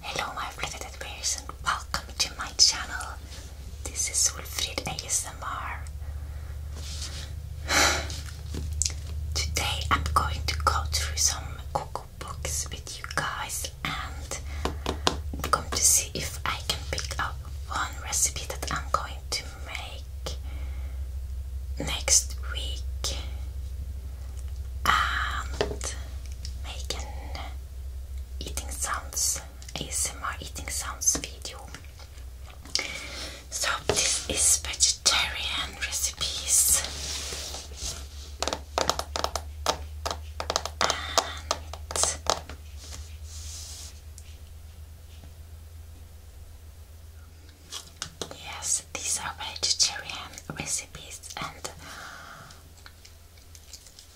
Hello my fliveted bears and welcome to my channel. This is Wolfried ASMR. Today I'm going to go through some cookbooks with you guys and I'm going to see if I can pick up one recipe that I'm going to make next week and making eating sounds, ASMR eating sounds video. So this is vegetarian recipes Yes, these are vegetarian recipes and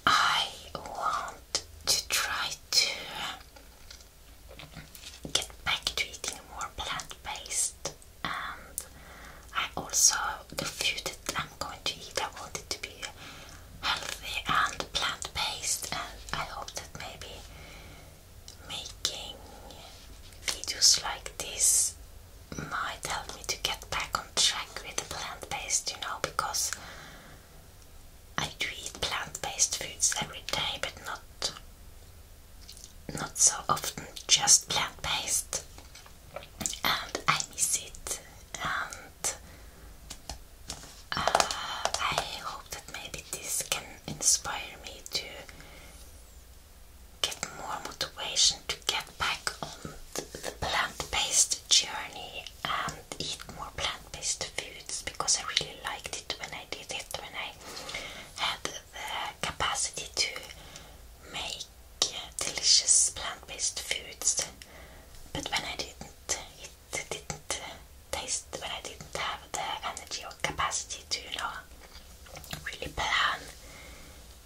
I want to try to get back to eating more plant-based and I also, the food that I'm going to eat, I want it to be healthy and plant-based and I hope that maybe making videos like this might help me to get back on track with the plant based, you know, because I do eat plant based foods every day, but not not so often just plant based, and I miss it. And uh, I hope that maybe this can inspire me to get more motivation to get back on the plant-based journey and eat more plant-based foods because I really liked it when I did it when I had the capacity to make delicious plant-based foods but when I didn't it didn't taste when I didn't have the energy or capacity to you know really plan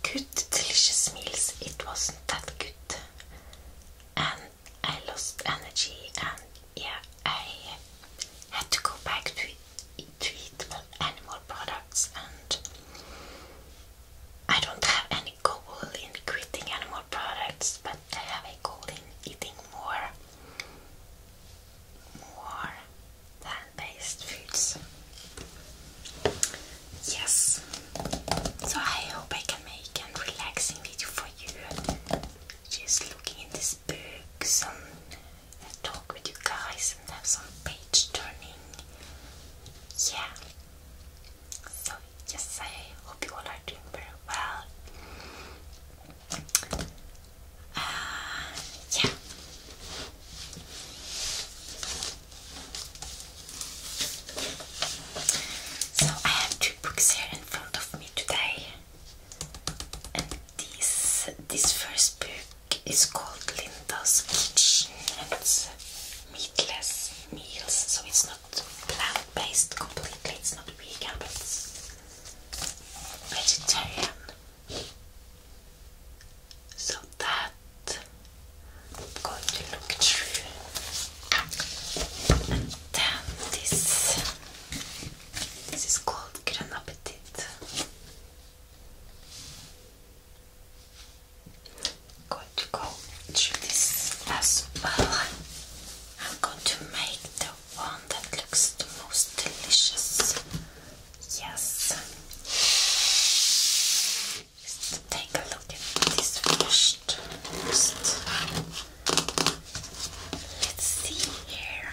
good, delicious meals. It wasn't that good, and I lost energy. And yeah, I had to go back to eat animal products. And I don't have any goal in quitting animal products, but I have a goal in eating more, more plant-based foods. Yes, so I hope I can make a relaxing video for you. Just looking in these books and uh, talk with you guys and have some page turning. Yeah. So yes, I hope you all are doing very well. Uh, yeah. So I have two books here in front of me today, and this this first book is called Linda's Kitchen and meatless meals, so it's not plant based completely. It's not vegan, but vegetarian so that I'm going to look through. And then this, this is called Grand Appetit. I'm going to go through this as well. I'm going to make the one that looks the most delicious. Yes. Let's take a look at this 1st first. Let's see here.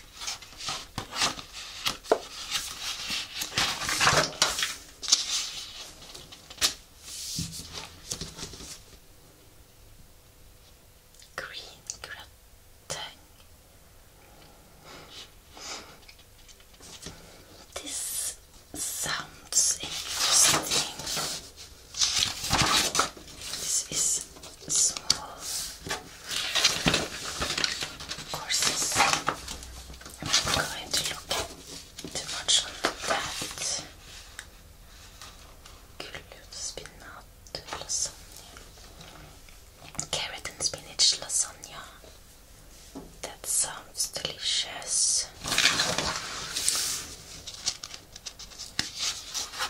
Green gratin. This sounds interesting. This is small courses. I'm going to look too much on that. Carrot and spinach lasagna. That sounds delicious.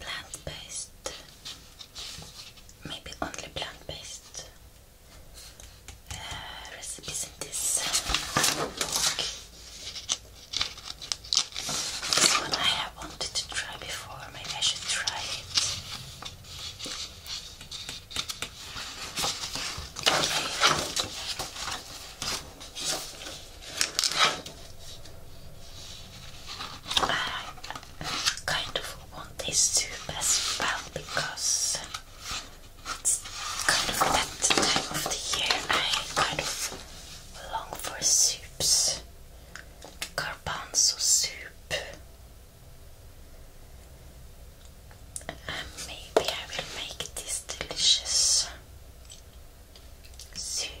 plant-based, maybe only plant-based uh, recipes in this book. This one I have wanted to try before, maybe I should try it. I kind of want this soup as well because it's kind of that time of the year I kind of long for soups. Garbanzo soup. And maybe I will make this delicious soup.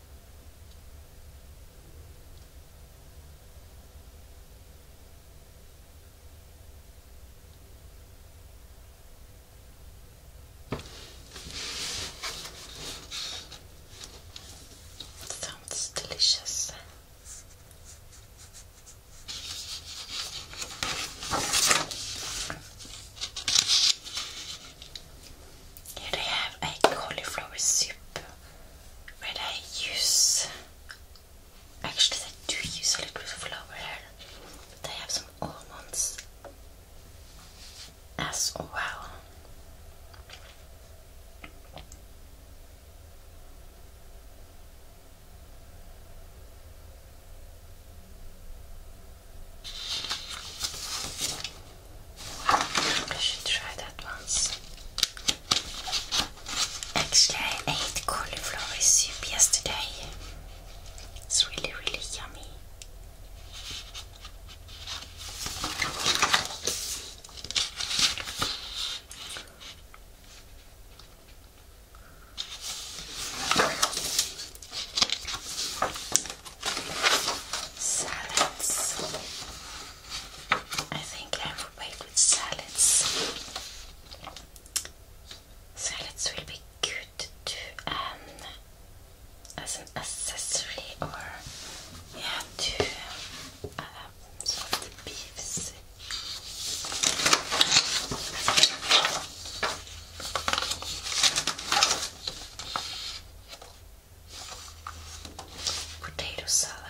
Sounds delicious. Here I have a cauliflower soup where I use actually I do use a little bit of flour here. But I have some almonds as well. I should try that once. Actually, I ate cauliflower soup yesterday. It's really, really yummy. Salads. I think I will salads. Salads will be good to um as an accessory or yeah to um, some of beefs potato salad.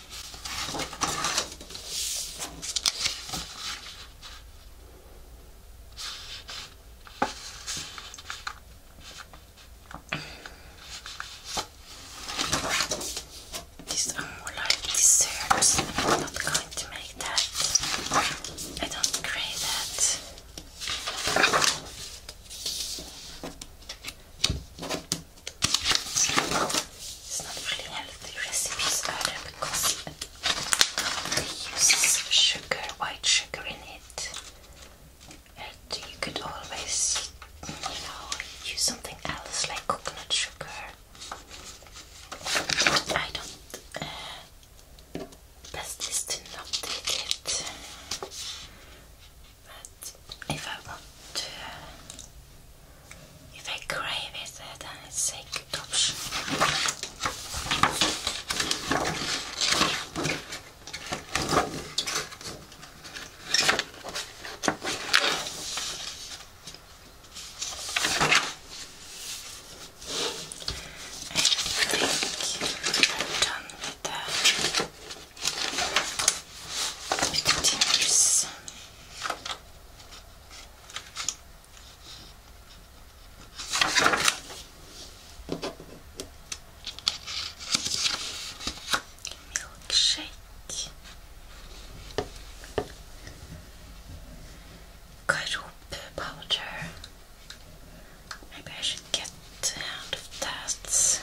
These are more like desserts. I'm not going to make that. I don't crave that. It's not really healthy recipes either because it uses sugar, white sugar in it. And you could always, you know, use something else like coconut sugar. I don't. best is to not eat it. But if I want to. If I crave it, then it's a good option. I think I'm done with that. It continues. Milkshake. Karoop powder. Maybe I should get out of that.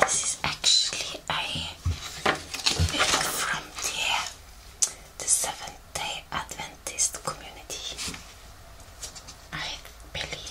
This is actually a book from the Seventh Day Adventist community. I believe.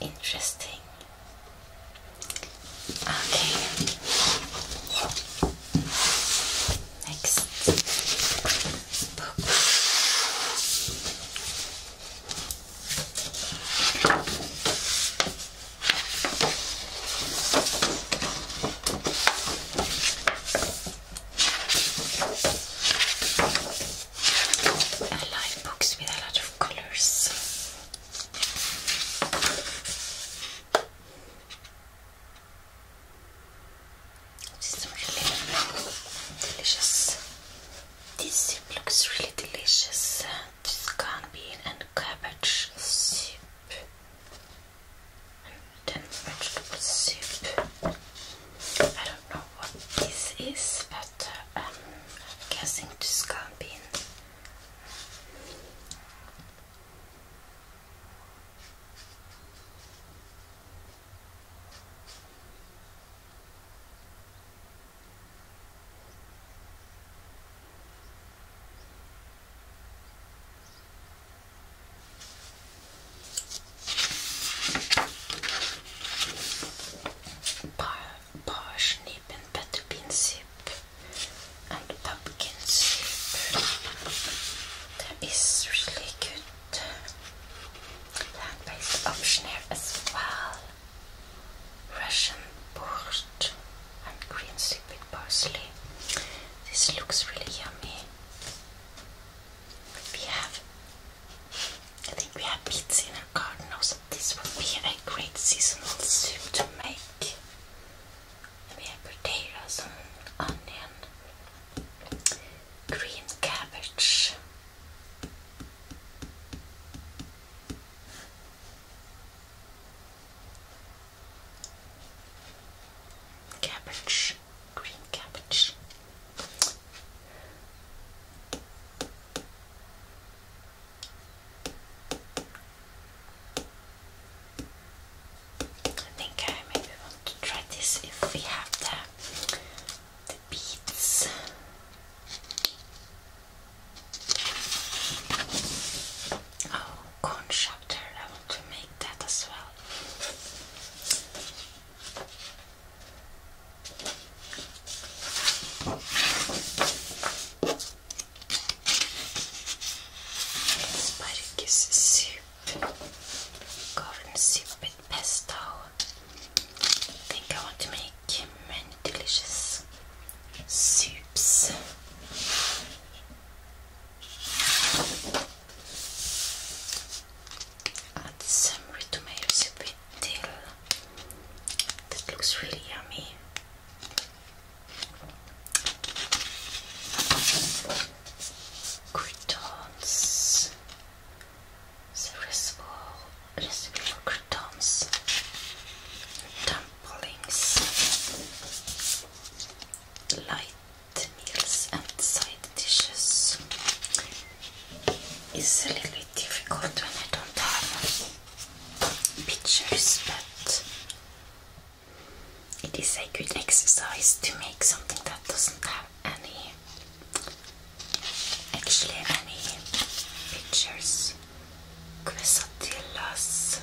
Interesting. Okay. Next book. I like books with a lot of colors. This is really delicious. This soup looks really delicious. This is bean and cabbage soup then vegetable soup. I don't know what this is, but uh, um, I'm guessing to scalping. Parsnip and butter bean soup and pumpkin soup. That is really good. Land-based option here as well. Russian port and green soup with parsley. This looks really yummy. We have, I think we have beets in our garden so This would be a great seasonal soup to make. We have potatoes and onion, green cabbage. Cabbage green cabbage. I think I maybe want to try this if we have the, the Oh, contractor. I want to make that as well. Spargus soup, garden soup with pesto. I think I want to make many delicious soups. Add some red tomatoes a that looks really yummy. Croutons. The for croutons. Dumplings. Light meals and side dishes is a little bit difficult when I don't have pictures, but it is a good exercise to make something that doesn't have any actually any pictures quesadillas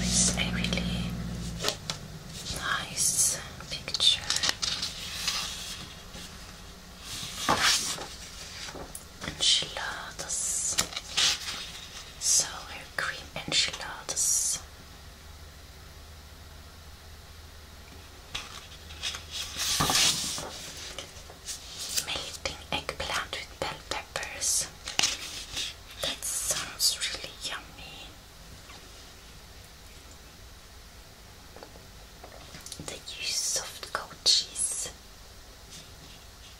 It's a really nice picture. Enchiladas. Sour cream enchiladas melting eggplant with bell peppers. That sounds really yummy. They use soft goat cheese.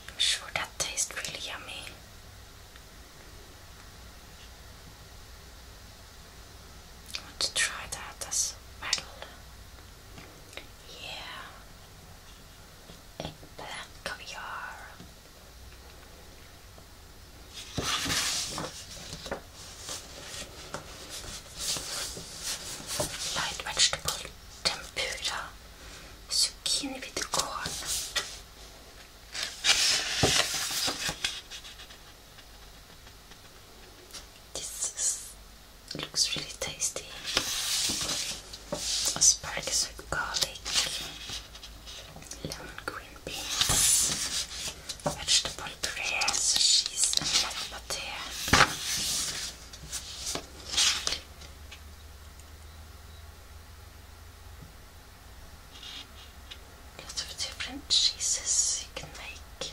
I'm sure that tastes really yummy. I want to try that as well. Yeah. And black Light vegetable tempura. Zucchini with corn. This looks really tasty. Asparagus with garlic, lemon green beans, vegetable puree, cheese and black Lots of different cheeses you can make.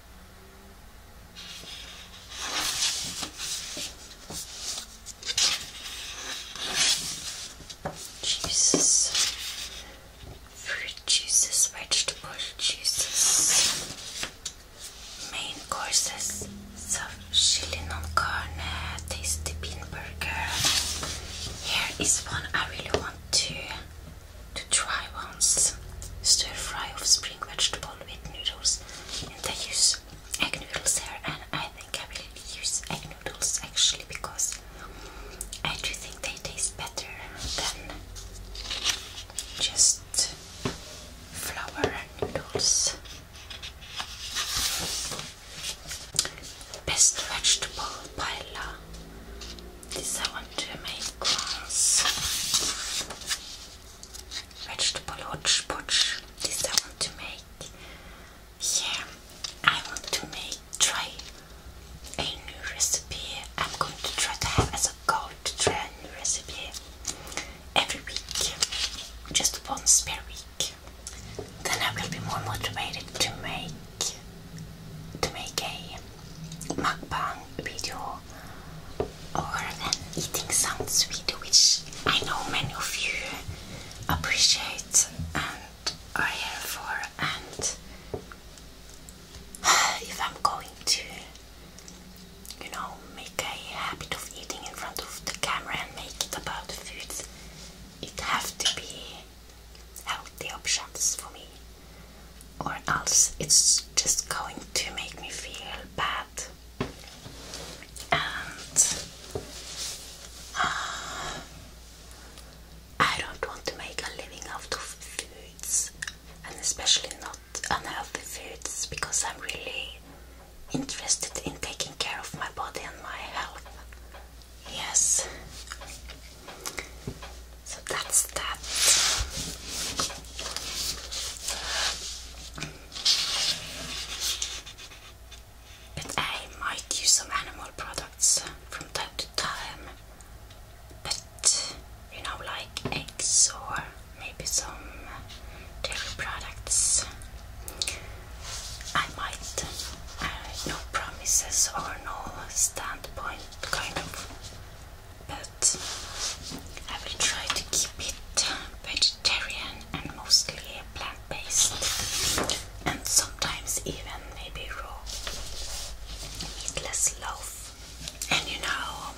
Juices, fruit juices, vegetable juices, main courses, so chili non carne, tasty bean burger. Here is one I really want to to try once. Stir fry of spring vegetable with noodles noodles. They use egg noodles here, and I think I really use egg noodles actually because I do think they taste better than just flour noodles. Best vegetable paella. This I want to make once vegetable hotpot. This I want to make. Yeah, I want to make try a new recipe. I'm going to try to have as a goal to try a new recipe every week, just once per week. Then I will be more motivated to make to make a mukbang video or than eating some sweet, which I know many of you appreciate and are here for. And if I'm going to, you know, make a habit of eating in front of the camera and make it about food, it have to be healthy options for me or else it's just going to make me feel bad. And uh, I don't want to make a living out of foods, and especially not unhealthy foods, because I'm really interested in taking care of my body and my health. Yes. So that's that. But I might use some animal products from time to time. But you know, like eggs or maybe some dairy products. I might, uh, no promises or no standpoint kind of but I will try to keep it uh, vegetarian and mostly plant-based and sometimes even maybe raw meatless loaf and you know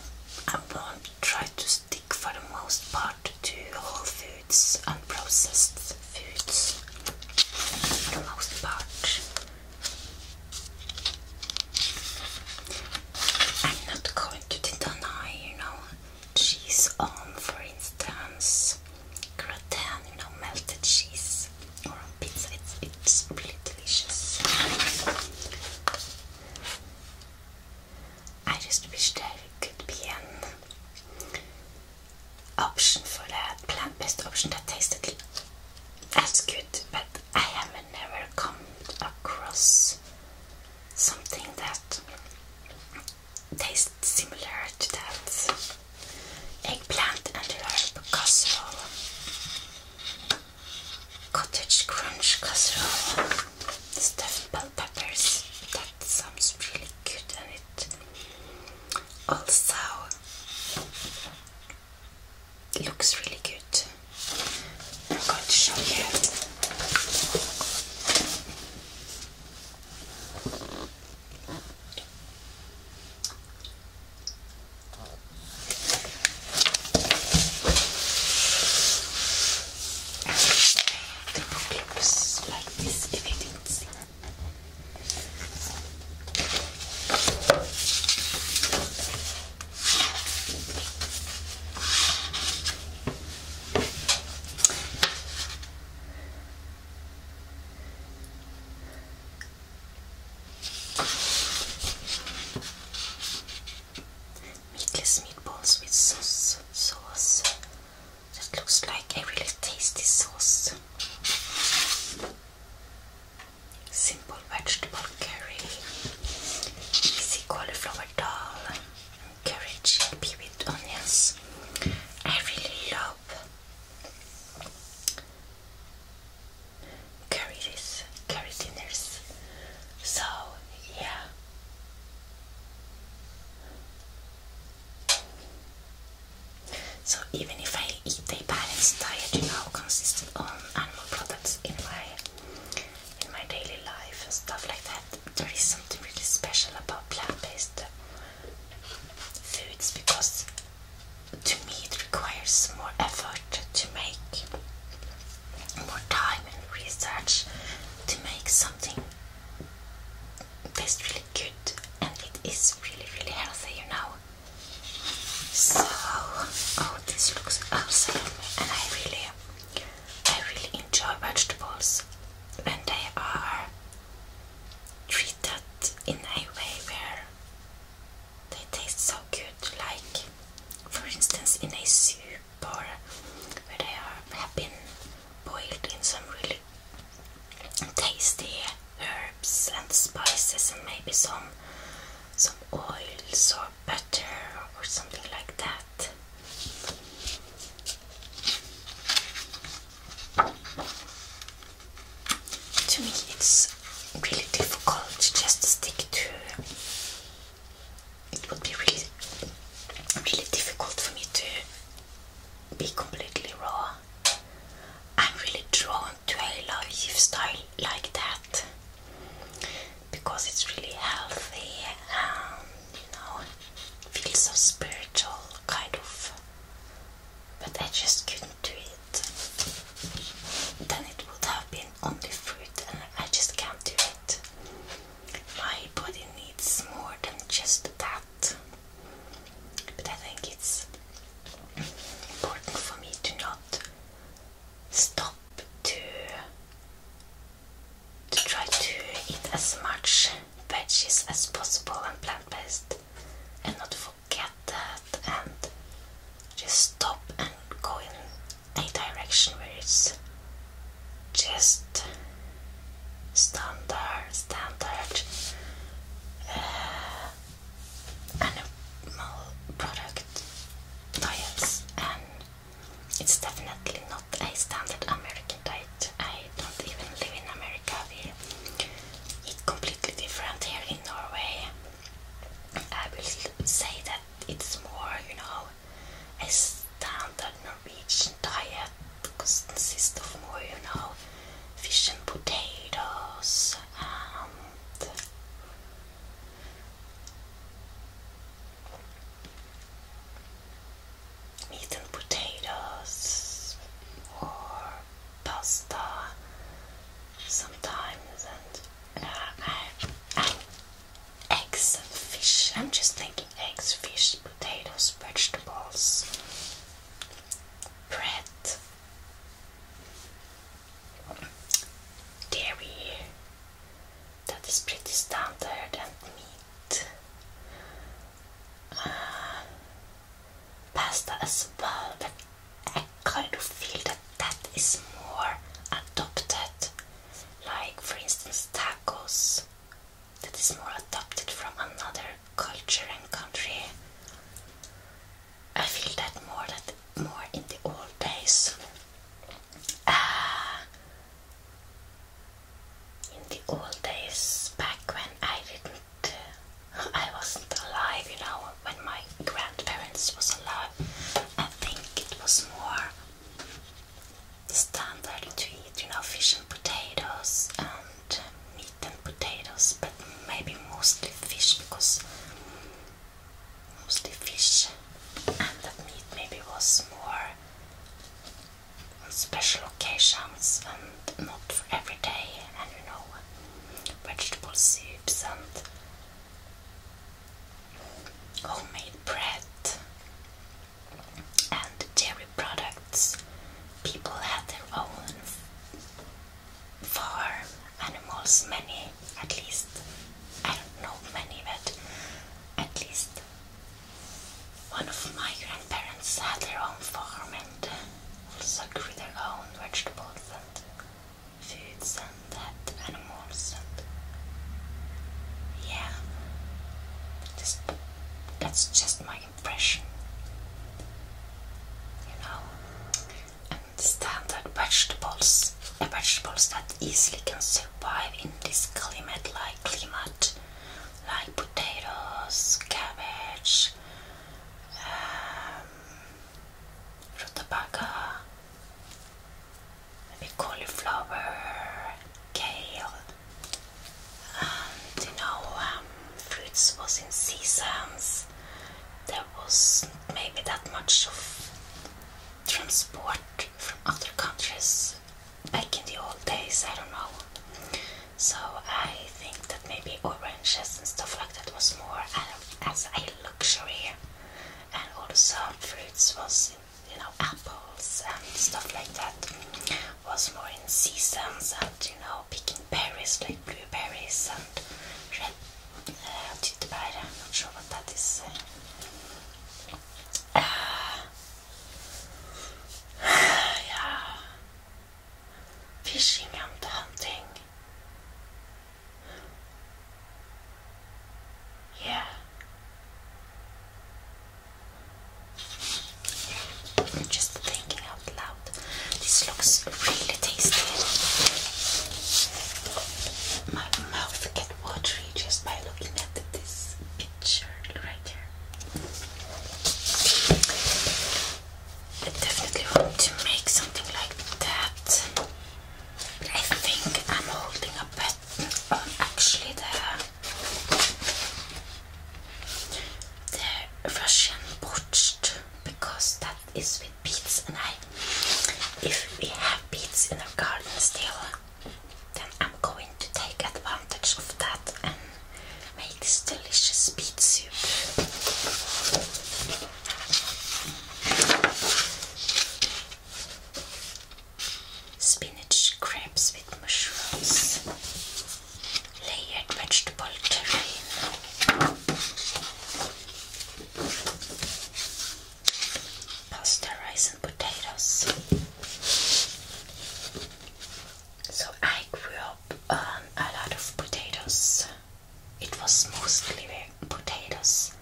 I will to try to stick for the most part to whole foods unprocessed foods for the most part I'm not hard to deny, you know, cheese on, for instance, gratin, you know, melted cheese or pizza. It's, really delicious. I just wish there could be an option for that plant-based option that tasted as good, but I have never come across something that tastes similar to that eggplant and herb casserole, cottage crunch casserole, stuffed bell peppers. That sounds really good, and it also looks really good. I'm going to show you. And the like this if you didn't see. Meatless meatballs with sauce, sauce. That looks like a really tasty sauce simple vegetable curry, easy cauliflower dal, curry chickpea with onions. I really love curries, curry dinners. So, yeah. So even if I eat a balanced diet, you know, consisting on animal products in my in my daily life and stuff like that. There is something really special about plant-based foods because to me it requires more effort to make more time and research to make something that's really good and it is really really healthy you know so oh this looks awesome and I really I really enjoy vegetables when they are treated in a way where they taste so good, like for instance in a soup or where they are, have boiled in some really tasty herbs and spices and maybe some some oil. or butter or something like that. To me, it's really difficult just to stick to. It would be really, really difficult for me to be completely raw. I'm really drawn to a lifestyle like that because it's really healthy and you know feels so spiritual kind of but I just couldn't do it then it would have been only fruit and I just can't do it my body needs more than just that but I think it's important for me to not stop to to try to eat as much veggies as possible and plant-based and not forget that and just stop and go in a direction where it's just standard standard uh, animal product diets and it's definitely not a standard American diet. I don't even live in America. We eat completely different here in Norway. I will say that it's more, you know, a standard Norwegian diet consists of more, you know, fish and potatoes and Eaten potatoes or pasta sometimes, and uh, eggs and fish. I'm just thinking eggs, fish, potatoes, vegetables, bread, dairy, that is pretty standard and meat uh, pasta as well but I kind of feel that that is more adopted like for instance tacos that is more adopted from another culture and country I feel that more that more in the old days in the old days, back when I didn't, I wasn't alive, you know, when my grandparents was alive, I think it was more standard to eat, you know, fish and potatoes and meat and potatoes, but maybe mostly fish because mostly fish, and that meat maybe was more on special occasions and not for every day, and you know, vegetable soups and homemade bread and dairy products. People had their own farm animals, many at least. I don't know many, but at least one of my grandparents had their own farm and also grew their own vegetables and foods and had animals and yeah. Just that's just my impression. You know, standard vegetables vegetables that easily can survive in this climate like climate like potatoes, cabbage, um, rutabaga, maybe cauliflower, kale, you know um, fruits was in seasons. There was maybe that much of transport from other countries back in the old days, I don't know. So I think that maybe oranges and stuff like that was more as a luxury. And all the soft fruits was, you know, apples and stuff like that was more in season. and, you know, picking berries like blueberries and red I'm not sure what that is. yeah, fishing and hunting. Yeah. just thinking out loud. This looks really tasty. My mouth get watery just by looking at this picture right here. I definitely want to make something like that. But I think I'm holding a bet on actually the the Russian botched because that is with beets and I if we have beets in our garden still then I'm going to take advantage of that and make this delicious beet soup. Spinach crepes with mushrooms, layered vegetable terrine, pasta, rice, and potatoes. So I grew up um, a lot of potatoes. It was mostly potatoes,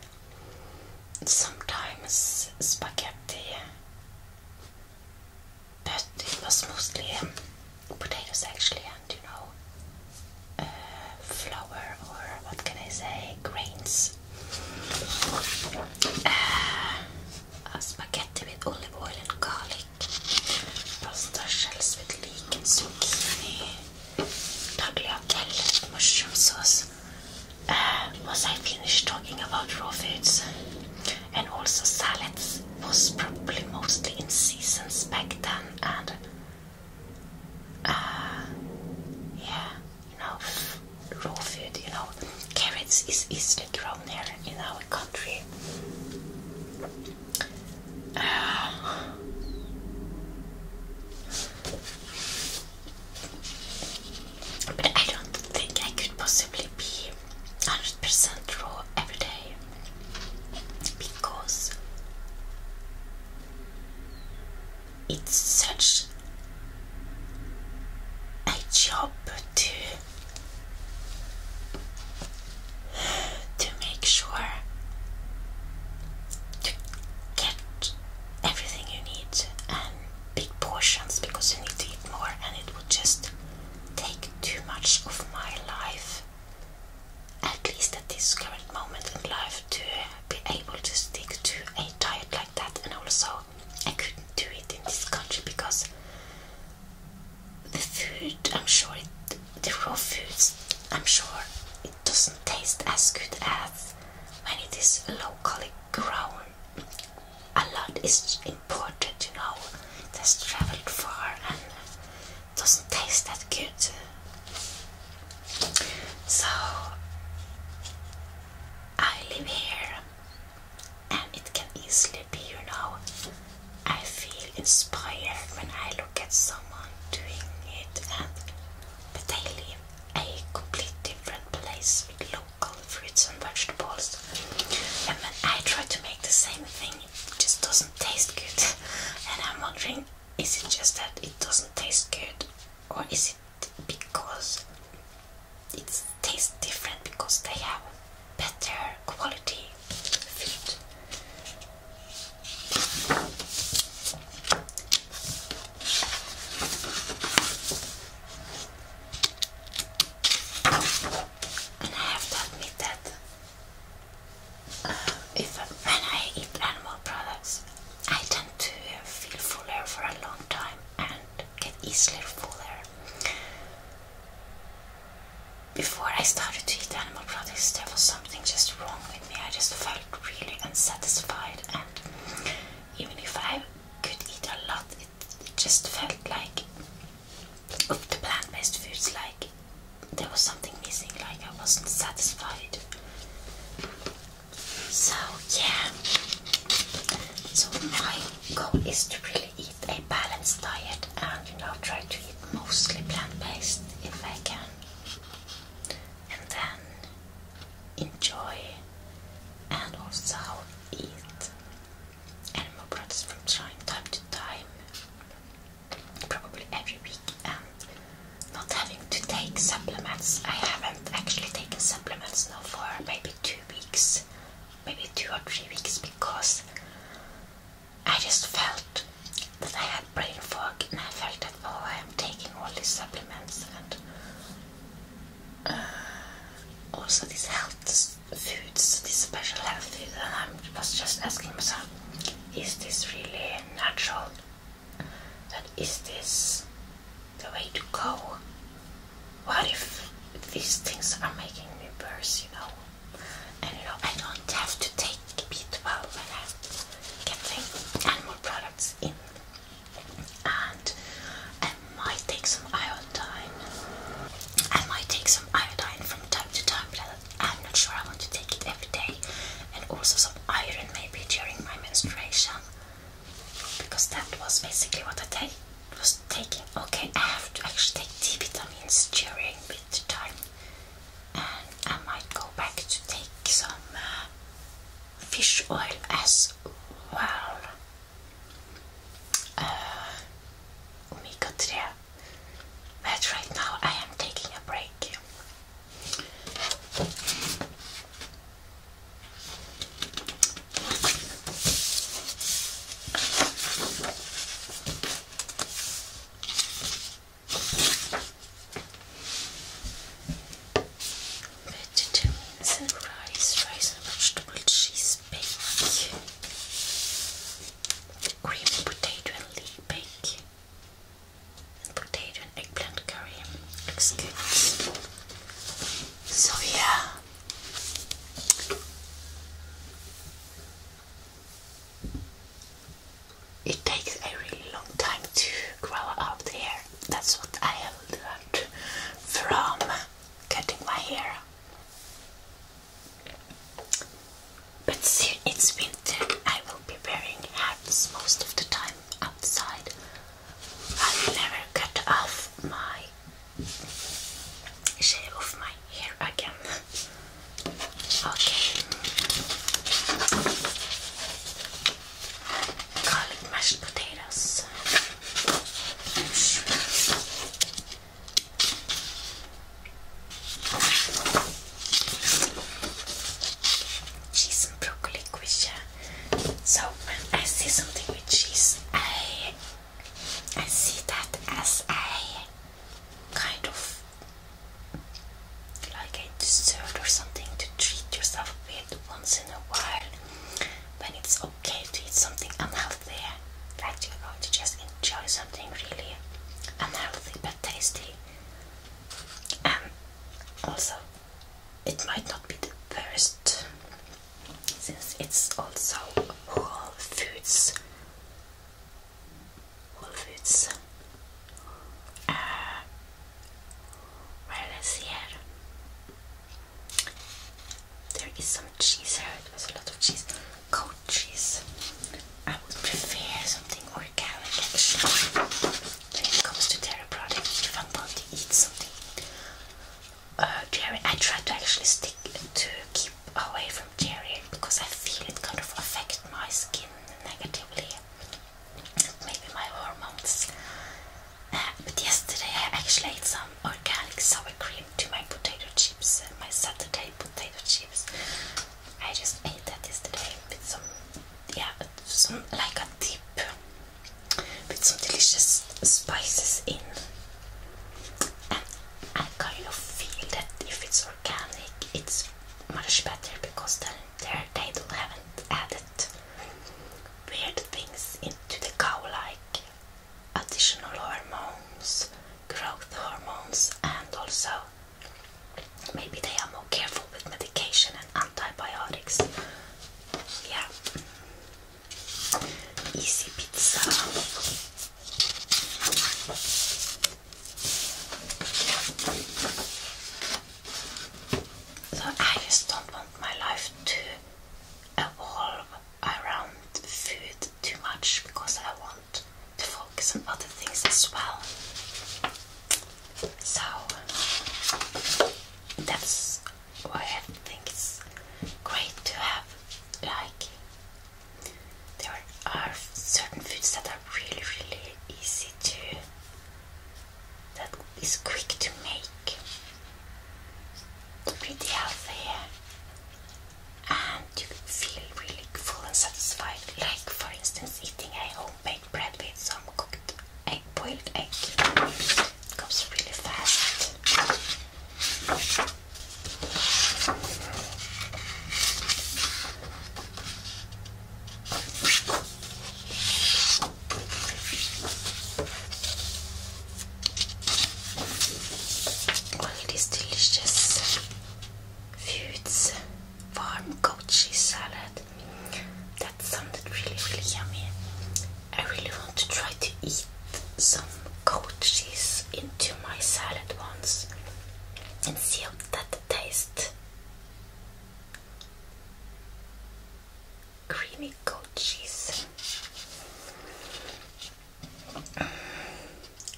sometimes spaghetti, but it was mostly um, potatoes actually. And you know, flour or what can I say, grains. Uh, spaghetti with olive oil and garlic. Pasta shells with leek and zucchini. Tagliatelle, mushroom sauce. Uh, was I finished talking about raw foods? And also salads was probably mostly in seasons back then and Ah, yeah, you know, raw food, you know, carrots is easily grown here in our country. Ah. but I don't think I could possibly be 100% raw every day because it's such a job to to make sure to get everything you need and big portions because you need to eat more and it would just take too much of my life at least at this current moment in life to be able to stick to a diet like that, and also I couldn't do it in this country because the food, I'm sure, the raw foods, I'm sure it doesn't taste as good as when it is locally grown. A lot is imported, you know, that's traveled far and doesn't taste that good. So I live here and it can easily be, you know, I feel inspired when I look at someone doing it and but they live a complete different place with local fruits and vegetables. And when I try to make the same thing, it just doesn't taste good. And I'm wondering is it just that it doesn't taste good, or is it because it tastes different because they have better quality food? And I have to admit that uh, if when I eat animal products, I tend to feel fuller for a long time and get easily fuller. Before I started to eat animal products, there was something just wrong with me. I just felt really unsatisfied, and even if I could eat a lot, it just felt like with the plant-based foods, like there was something missing, like I wasn't satisfied. So yeah. So my goal is to really eat a balanced diet and you know try to eat mostly plant-based if I can. And then enjoy and also eat animal products from time to time. Probably every week and um, not having to take supplements. I haven't actually taken supplements now for maybe two weeks, maybe two or three weeks, because I just felt that I had brain fog and I felt that oh, I'm taking all these supplements and uh, also these health foods, these special health foods, and I was just asking myself, is this really natural? that is this the way to go? What if these things are making me worse, you know? And know, I don't have to take B12 when I'm getting animal products in. And I might take some iodine. I might take some iodine from time to time, but I'm not sure I want to take it every day. And also some iron maybe during my menstruation because that was basically what I was taking. Okay, I have to actually take D vitamins during winter time, and I might go back to take some uh, fish oil as well. Uh, omega 3. But right now I am taking a break Vitamins and rice, rice and vegetable cheese bake, creamy potato and leek bake potato and eggplant curry looks good. So yeah. It takes a really long time to grow out the hair. That's what I have learned from cutting my hair. But see, it's been I will be wearing hats most of the time outside. I will never cut off my shave off my hair again. Okay. Garlic mashed potatoes cheese and broccoli quiche. So when I see something with cheese, I I see that as a kind of like a dessert or something to treat yourself with once in a while. When it's okay to eat something unhealthy, that you're going to just enjoy something really unhealthy but tasty and um, also it might not be the best since it's also whole foods whole foods uh, where is here there is some cheese here there's a lot of cheese cold cheese I would prefer something organic action. When it comes to dairy products, if I'm going to eat something uh, dairy, I try to actually stick to keep away from Jerry because I feel it kind of affects my skin negatively, maybe my hormones. Uh, but yesterday I actually ate some organic sour cream to my potato chips, uh, my Saturday potato chips. I just ate that yesterday with some yeah, some like a dip with some delicious spices in. And I kind of feel that if it's organic, it's much better because then there they don't haven't added weird things into the cow like additional hormones, growth hormones, and also Maybe they are more careful with medication and antibiotics. Yeah. Easy pizza. So I just don't want my life to evolve around food too much because I want to focus on other things as well. So that's why I think it's great to have like there are certain foods that are really really easy to that is quick to make pretty healthy and you feel really full and satisfied like for instance eating a homemade make bread with some cooked egg, boiled egg. Comes really fast. All these delicious foods farm goat cheese salad. That sounded really, really yummy. I really want to try to eat some goat cheese into my salad once and see how that tastes. Creamy goat cheese.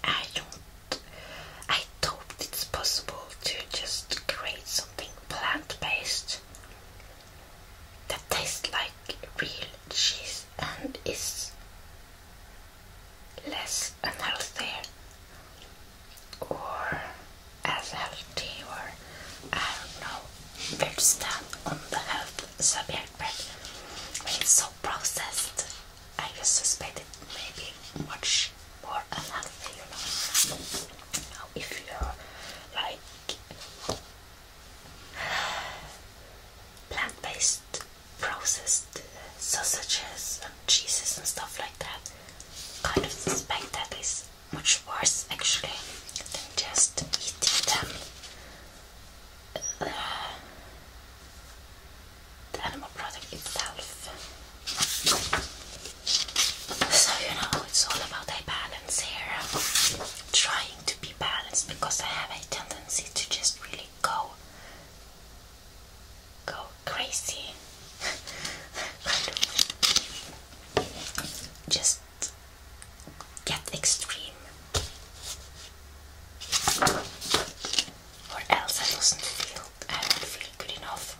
I don't. I I it's possible to just create something plant-based that tastes like real cheese and is less unhealthy or as healthy or I don't know where on the health subject but processed I suspect it may be much much more Now, if you're like plant-based processed sausages and cheeses and stuff like that, kind of suspect that is much worse actually than just eating them. Uh, the animal product itself. So, you know, it's all about a balance here. trying to be balanced because I have a tendency to just really go go crazy. just get extreme. Or else I doesn't feel I don't feel good enough.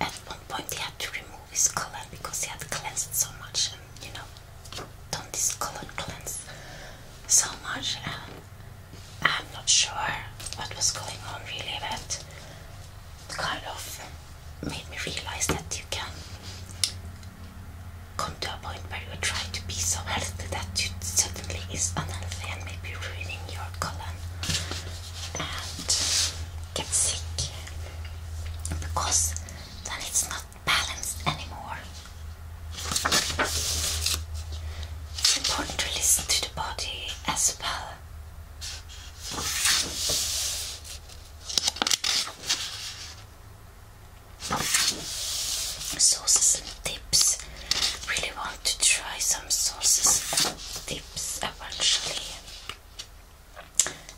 at one point he had to remove his color because he had cleansed so much and you know don't this color cleanse so much and I'm not sure what was going on really but kind of made me realize that you can come to a point where you try to be so healthy that you suddenly is unhealthy and maybe ruining your colon and get sick because then it's not balanced anymore. It's important to listen to the body as well. Sauces and dips. Really want to try some sauces dips eventually.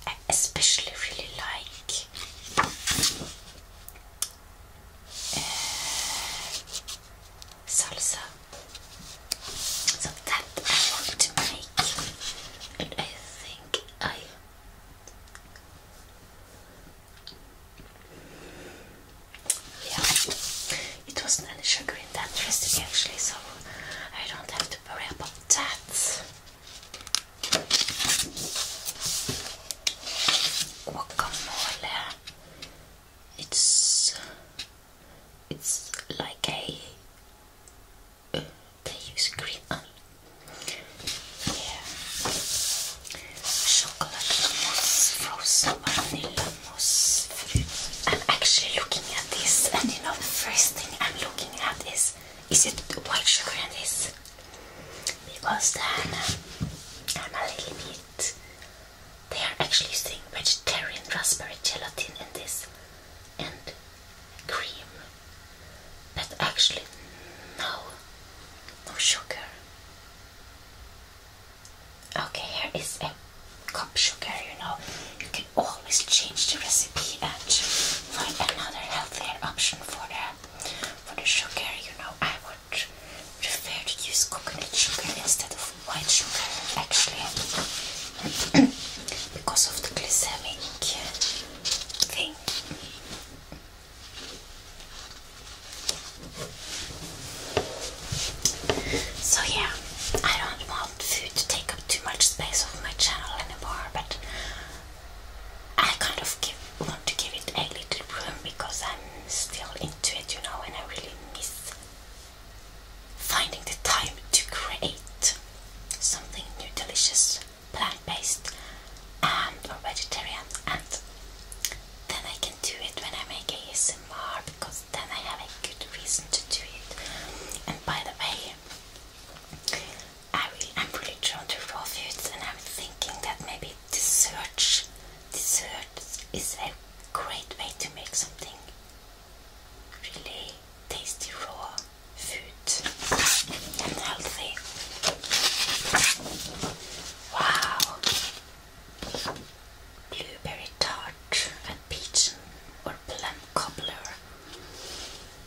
I especially really like uh, salsa. So that I want to make, and I think I. Yeah, it wasn't any sugar in that recipe actually, so I don't have to worry about that guacamole. It's it's like a uh, they use green onion. Yeah, chocolate mousse, frozen vanilla mousse. I'm actually looking at this, and you know the first thing I'm looking at is is it white sugar in this? Because then uh, I'm a little bit. They are actually using vegetarian raspberry gelatin in this and cream, but actually, no, no sugar. Okay, here is a cup sugar, you know, always change the recipe and find another healthier option for the for the sugar. You know, I would prefer to use coconut sugar instead of white sugar, actually, because of the glycemic thing. So yeah, I don't want food to take up too much space of my channel but I kind of want to give it a little room because I'm still into it, you know, and I really miss finding the time to create something new, delicious, plant-based and or vegetarian and then I can do it when I make a ASMR because then I have a good reason to do it. And by the way, I am really drawn to raw foods and I'm thinking that maybe dessert, dessert is a great way to make something really tasty raw food and healthy. Wow! Blueberry tart and peach or plum cobbler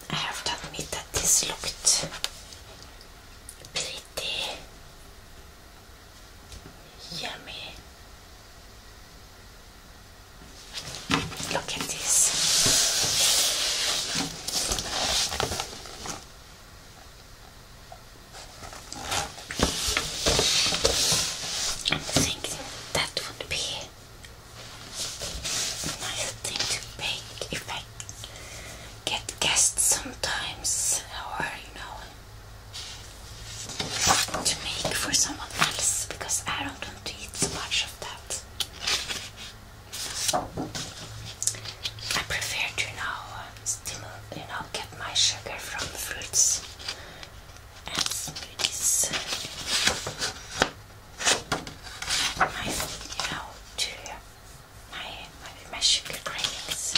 I have to admit that this looked pretty yummy. Look at this. I think that would be nice thing to bake if I get guests sometimes or you know to make for someone else because I don't want to eat much of that. I prefer to now get my sugar from fruits and smoothies my, you know, to my, my, sugar cravings.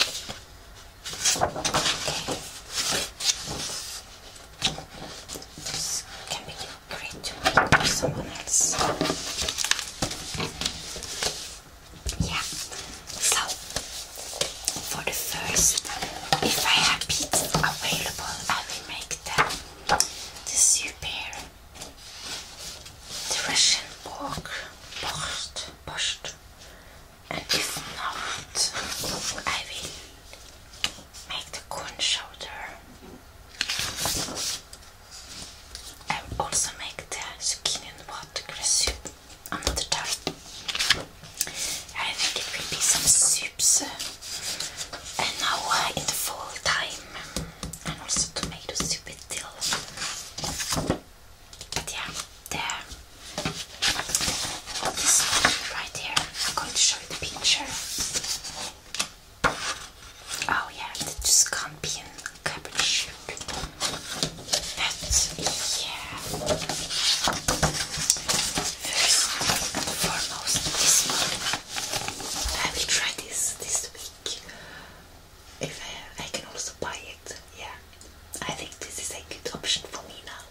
Okay. can be great for someone else. Yeah. So, for the first, if I have pizza available, I will make them the sea bear, the Russian pork, borscht, borscht, and if not, I will make the corn shoulder. I will also make the chicken and watercress soup another time. I think it will be some soups and now in the fall time and also tomato soup is still but yeah there this right here I'm going to show you the picture oh yeah the Scampian cabbage that yeah First and foremost, this one. I will try this this week. If I, I can also buy it, yeah. I think this is a good option for me now.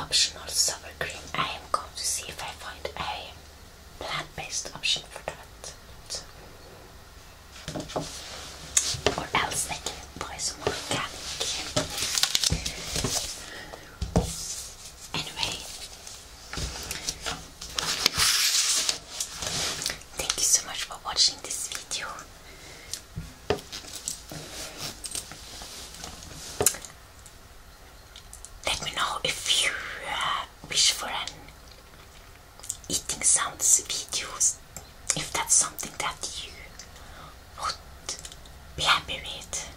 optional sour cream. I am going to see if I find a plant-based option for that. Or else they can buy some Anyway, thank you so much for watching this video. Let me know if you uh, wish for an eating sounds videos if that's something that you would be happy with.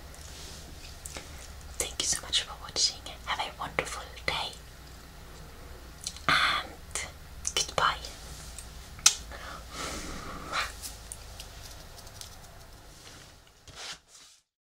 Thank you so much for watching. Have a wonderful day. And goodbye.